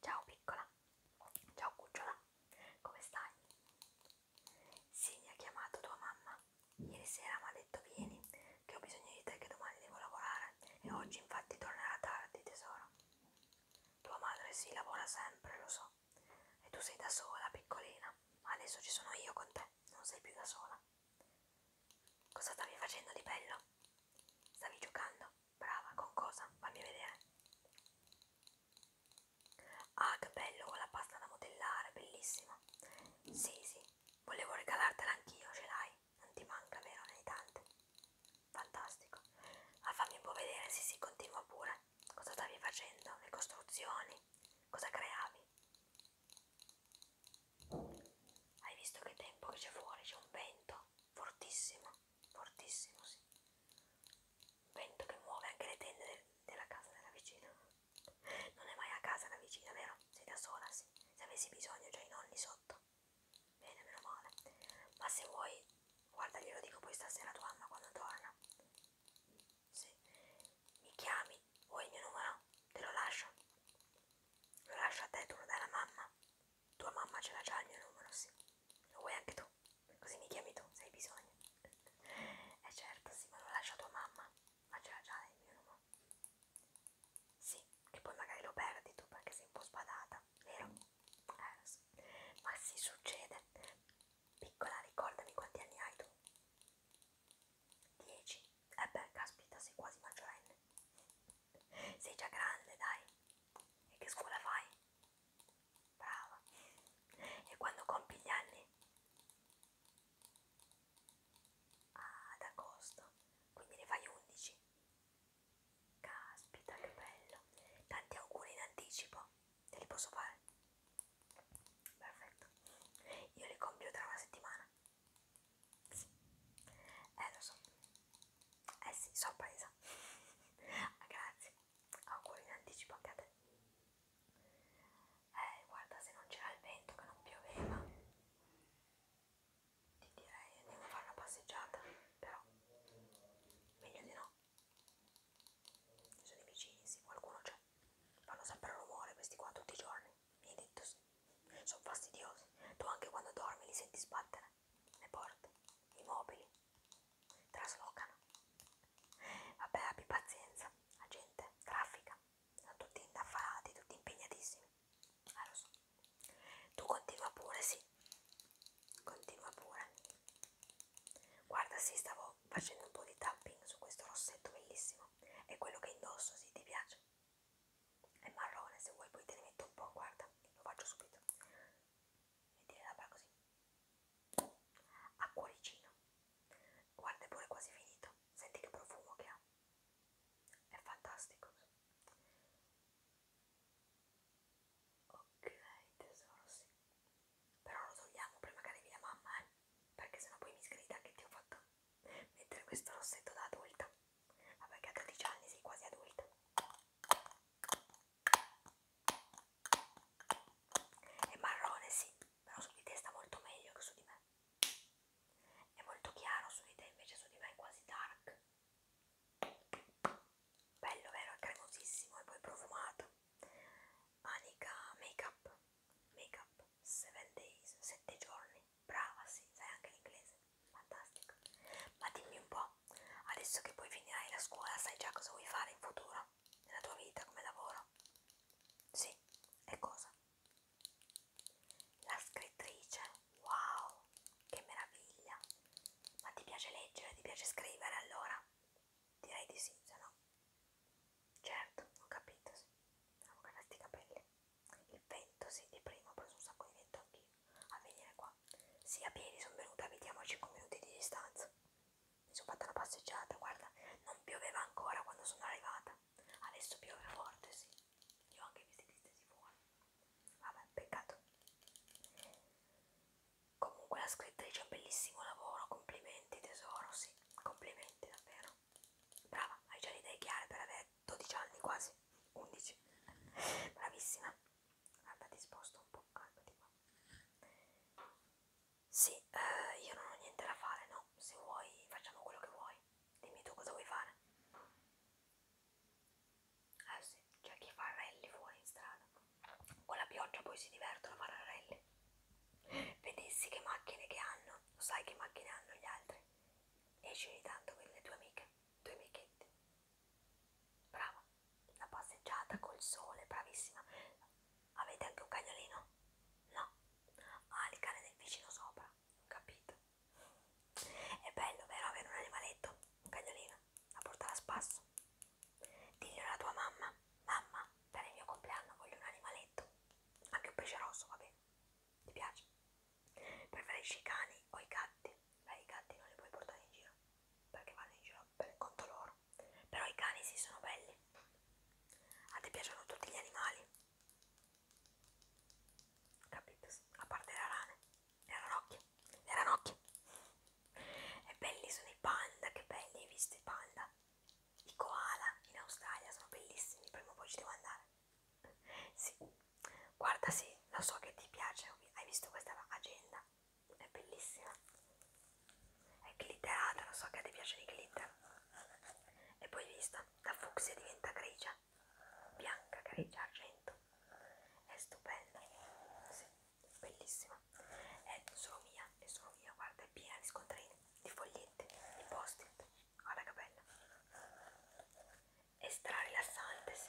Ciao piccola, ciao cucciola, come stai? Sì, mi ha chiamato tua mamma. Ieri sera mi ha detto vieni, che ho bisogno di te, che domani devo lavorare e oggi infatti tornerà tardi, tesoro. Tua madre si sì, lavora sempre, lo so. E tu sei da sola, piccolina. Adesso ci sono io con te, non sei più da sola. Cosa stavi facendo di bello? Stavi giocando? Brava, con cosa? Fammi vedere. Ah, che bello, con la pasta da modellare, bellissima. Sì, sì, volevo regalartela anch'io, ce l'hai. Non ti manca, vero? Ne hai tante. Fantastico. Ah, fammi un po' vedere, sì, sì, continua pure. Cosa stavi facendo? Le costruzioni? Cosa creavi? Hai visto che tempo che c'è fuori? C'è un vento fortissimo, fortissimo, sì. Un vento che muove anche le tende del, della casa della vicina. Non è mai a casa la vicina, vero? Sei da sola, sì. Se avessi bisogno, già i nonni sotto. Bene, meno male. Ma se vuoi, guarda, glielo dico poi stasera a tua mamma quando torna. Sì. Mi chiami, vuoi il mio numero? Te lo lascio. Lo lascio a te, tu lo dai alla mamma. Tua mamma ce l'ha già il mio numero, sì. Lo vuoi anche tu? Così mi chiami tu se hai bisogno. Eh certo, sì, ma lo lascia a tua mamma. Ma ce l'ha già il mio numero. Sì, che poi magari lo perdi tu perché sei un po' sbadata, vero? Eh, lo so. Ma si succede. Piccola, ricordami quanti anni hai tu. 10. Eh beh, caspita, sei quasi maggiorenne. Sei già grande, dai. E che scuola fai? Brava. E quando compi gli anni? Ah, ad agosto. Quindi ne fai 11. Caspita, che bello. Tanti auguri in anticipo. Te li posso fare? Perfetto. Io li compio tra una settimana. Sì. Eh lo so. Eh sì, so paesa. ah, grazie. Auguri in anticipo anche a te. Eh, guarda, se non c'era il vento che non pioveva, ti direi andiamo a fare una passeggiata, però meglio di no. Ci sono i vicini, sì, qualcuno c'è. Fanno sempre rumore questi qua tutti i giorni mi hai detto sì. Sono fastidiosi. Tu anche quando dormi li senti sbattere. Le porte, i mobili, traslocano. Vabbè, abbi pazienza. La gente traffica. Sono tutti indaffarati, tutti impegnatissimi. Ah, lo so. Tu continua pure, sì. Continua pure. Guarda, sì, stavo facendo un po' di tapping su questo rossetto bellissimo. È quello che indosso, sì, ti piace? è marrone se vuoi poi te ne metto un po' guarda lo faccio subito metti le labbra così a cuoricino guarda è pure quasi finito senti che profumo che ha è fantastico ok tesoro sì però lo togliamo prima che arrivi la mamma eh? perché sennò poi mi sgrida che ti ho fatto mentre questo rossetto da adulta vabbè che a 12 anni sei quasi adulta è marrone sì però su di te sta molto meglio che su di me è molto chiaro su di te invece su di me è quasi dark bello vero è cremosissimo e poi profumato Anika Makeup, Makeup 7 Days, 7 giorni, brava sì, sai anche l'inglese, fantastica. Ma dimmi un po', adesso che poi finirai la scuola sai già cosa vuoi fare in futuro, nella tua vita, come lavoro? Sì, e cosa? La scrittrice, wow, che meraviglia! Ma ti piace leggere, ti piace scrivere allora? Direi di sì, se no. Certo, ho capito, sì. Avevo grandi capelli. Il vento, sì, di prima ho preso un sacco di vento anch'io. A venire qua. Sì, a piedi sono venuta, vediamo a 5 minuti di distanza. Mi sono fatta una passeggiata, guarda, non pioveva ancora quando sono arrivata. Adesso piove forte, sì. Io ho anche visto che stessi fuori. Vabbè, peccato. Comunque la scrittrice ha un bellissimo lavoro, complimenti tesoro, sì. Complimenti davvero. Brava, hai già le idee chiare per avere 12 anni quasi, 11. Bravissima. Guarda, ti sposto un po', calmati qua. Sì, eh, io non ho niente da fare, no? Se vuoi facciamo quello che vuoi. Dimmi tu cosa vuoi fare. Eh sì, c'è chi fa rally fuori in strada. Con la pioggia poi si divertono a fare rally vedessi che macchine che hanno, lo sai che macchine hanno gli altri, esci ogni tanto con le tue amiche, i tuoi amichetti. Brava, una passeggiata col sole, bravissima. Avete anche un cagnolino? No. Ah, il cane del vicino sopra, ho capito. È bello, vero, avere un animaletto, un cagnolino, da portare a spasso. Digli alla tua mamma, mamma, per il mio compleanno voglio un animaletto, anche un pesce rosso, va bene, ti piace? Preferisci i cani o i gatti? Beh, i gatti non li puoi portare in giro, perché vanno in giro per il conto loro, però i cani sì sono belli. A te piacciono tutti gli animali? Capito? A parte le rane, le ranocchie, le ranocchie. E belli sono i panda, che belli, hai visto i panda? I koala in Australia sono bellissimi, prima o poi ci devo andare. Sì, guarda, sì, lo so che ti piace, hai visto questa agenda, è bellissima. È glitterata, lo so che ti piacciono i glitter. E poi vista, da fucsia diventa grigia, bianca, grigia, argento. È stupenda, sì bellissima è eh, solo mia, è solo mia, guarda è piena di scontrini, di foglietti, di post-it, guarda che bella è stra rilassante, sì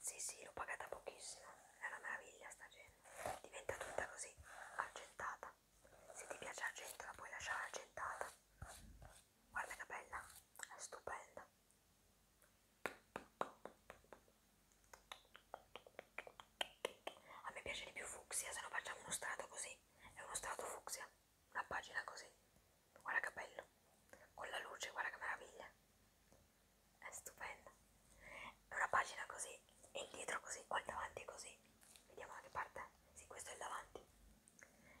sì sì, l'ho pagata pochissimo è una meraviglia sta gente diventa tutta così, argentata se ti piace l'argento la puoi lasciare argentata guarda che bella, è stupenda a me piace di più fucsia, se no facciamo uno strato così. È uno strato fucsia, una pagina così. Guarda che bello. Con la luce, guarda che meraviglia. È stupenda. È una pagina così, e il dietro così, o il davanti così. Vediamo da che parte. Sì, questo è il davanti.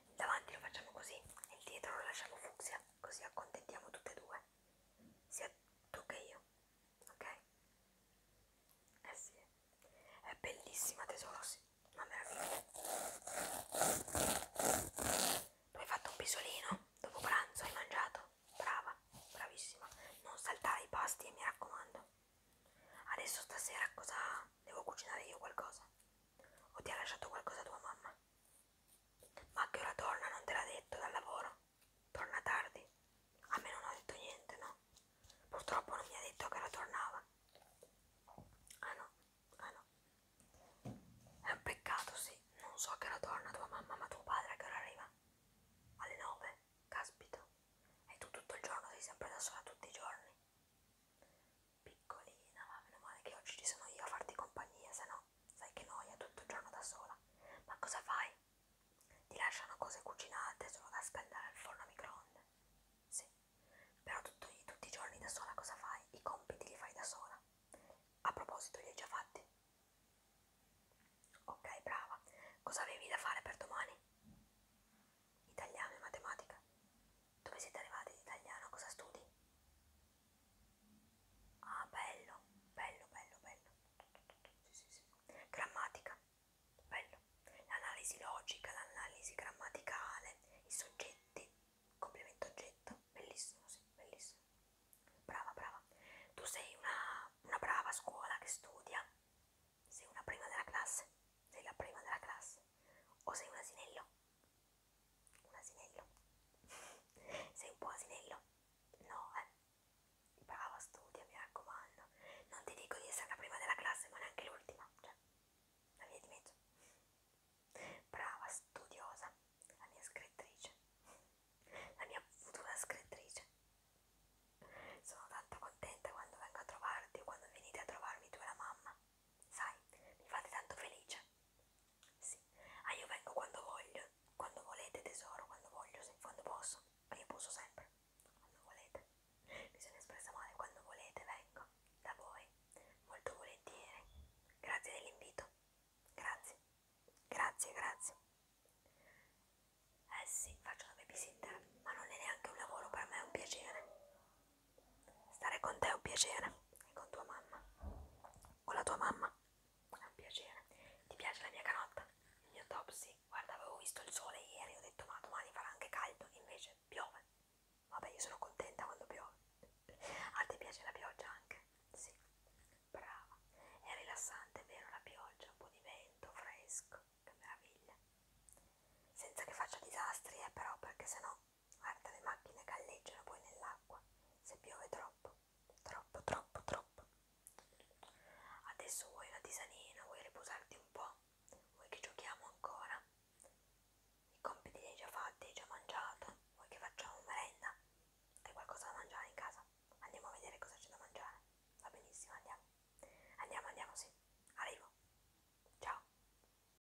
Il davanti lo facciamo così e il dietro lo lasciamo fucsia, così accontentiamo tutte e due. Sia tu che io ok? Eh sì, è bellissima tesoro, sì, una meraviglia. Tu hai fatto un pisolino dopo pranzo, hai mangiato, brava, bravissima. Non saltare i pasti, eh, mi raccomando. Adesso stasera cosa devo cucinare io qualcosa? O ti ha lasciato qualcosa tua mamma? Ma a che ora torna non te l'ha detto dal lavoro? Torna tardi? A me non ha detto niente, no? Purtroppo non mi ha detto che la tornava. Ah no, ah no. È un peccato, sì. Non so che la torna tua mamma, ma tuo padre a che ora arriva? Alle nove? Caspito. E tu tutto il giorno sei sempre da sola tutti i giorni. Piccolina, ma meno male che oggi ci sono io a farti compagnia, se no no, sai che noia tutto il giorno da sola. Ma cosa fai? Ti lasciano cose cucinate solo da scaldare al forno a microonde. Sì, però tutto, tutti i giorni da sola cosa fai? I compiti li fai da sola. A proposito, li hai già fatti? Ok, brava. Cosa avevi da fare per domani? Italiano e matematica. Dove siete arrivati di italiano? Cosa studi? Ah, bello, bello, bello, bello. Sì, sì, sì. Grammatica, bello. L'analisi logica, l'analisi grammaticale, i soggetti, complemento oggetto, bellissimo, sì, bellissimo. Brava, brava. Tu sei una, una brava scuola che studia. Sei una prima della classe? Sei la prima della classe? O sei un asinello? un asinello sei un buon asinello? no eh brava studia mi raccomando non ti dico di essere la prima della classe ma neanche l'ultima cioè la via di mezzo brava studiosa la mia scrittrice la mia futura scrittrice sono tanto contenta quando vengo a trovarti o quando venite a trovarmi tu e la mamma sai mi fate tanto felice sì, ah io vengo quando voglio, quando volete tesoro, quando voglio, sì, quando posso, ma ah, io posso sempre, quando volete. Mi sono espressa male, quando volete vengo da voi, molto volentieri. Grazie dell'invito, grazie, grazie, grazie. Eh sì, faccio una babysitter, ma non è neanche un lavoro, per me è un piacere. Stare con te è un piacere, e con tua mamma. Con la tua mamma è un piacere. Ti piace la mia canotta? Il mio top sì. Guarda, avevo visto il sole ieri, ho detto ma domani farà anche caldo, invece piove. Vabbè, io sono contenta quando piove. A te piace la pioggia anche? Sì. Brava. È rilassante, vero, la pioggia, un po' di vento, fresco. Che meraviglia. Senza che faccia disastri, eh, però, perché sennò Guarda, le macchine galleggiano poi nell'acqua, se piove troppo, troppo, troppo, troppo. Adesso vuoi una tisanina, vuoi riposarti un po', vuoi che giochiamo ancora? I compiti li hai già fatti, hai già mangiato, vuoi che facciamo merenda? Hai qualcosa da mangiare in casa? Andiamo a vedere cosa c'è da mangiare. Va benissimo, andiamo. Andiamo, andiamo, sì. Arrivo. Ciao.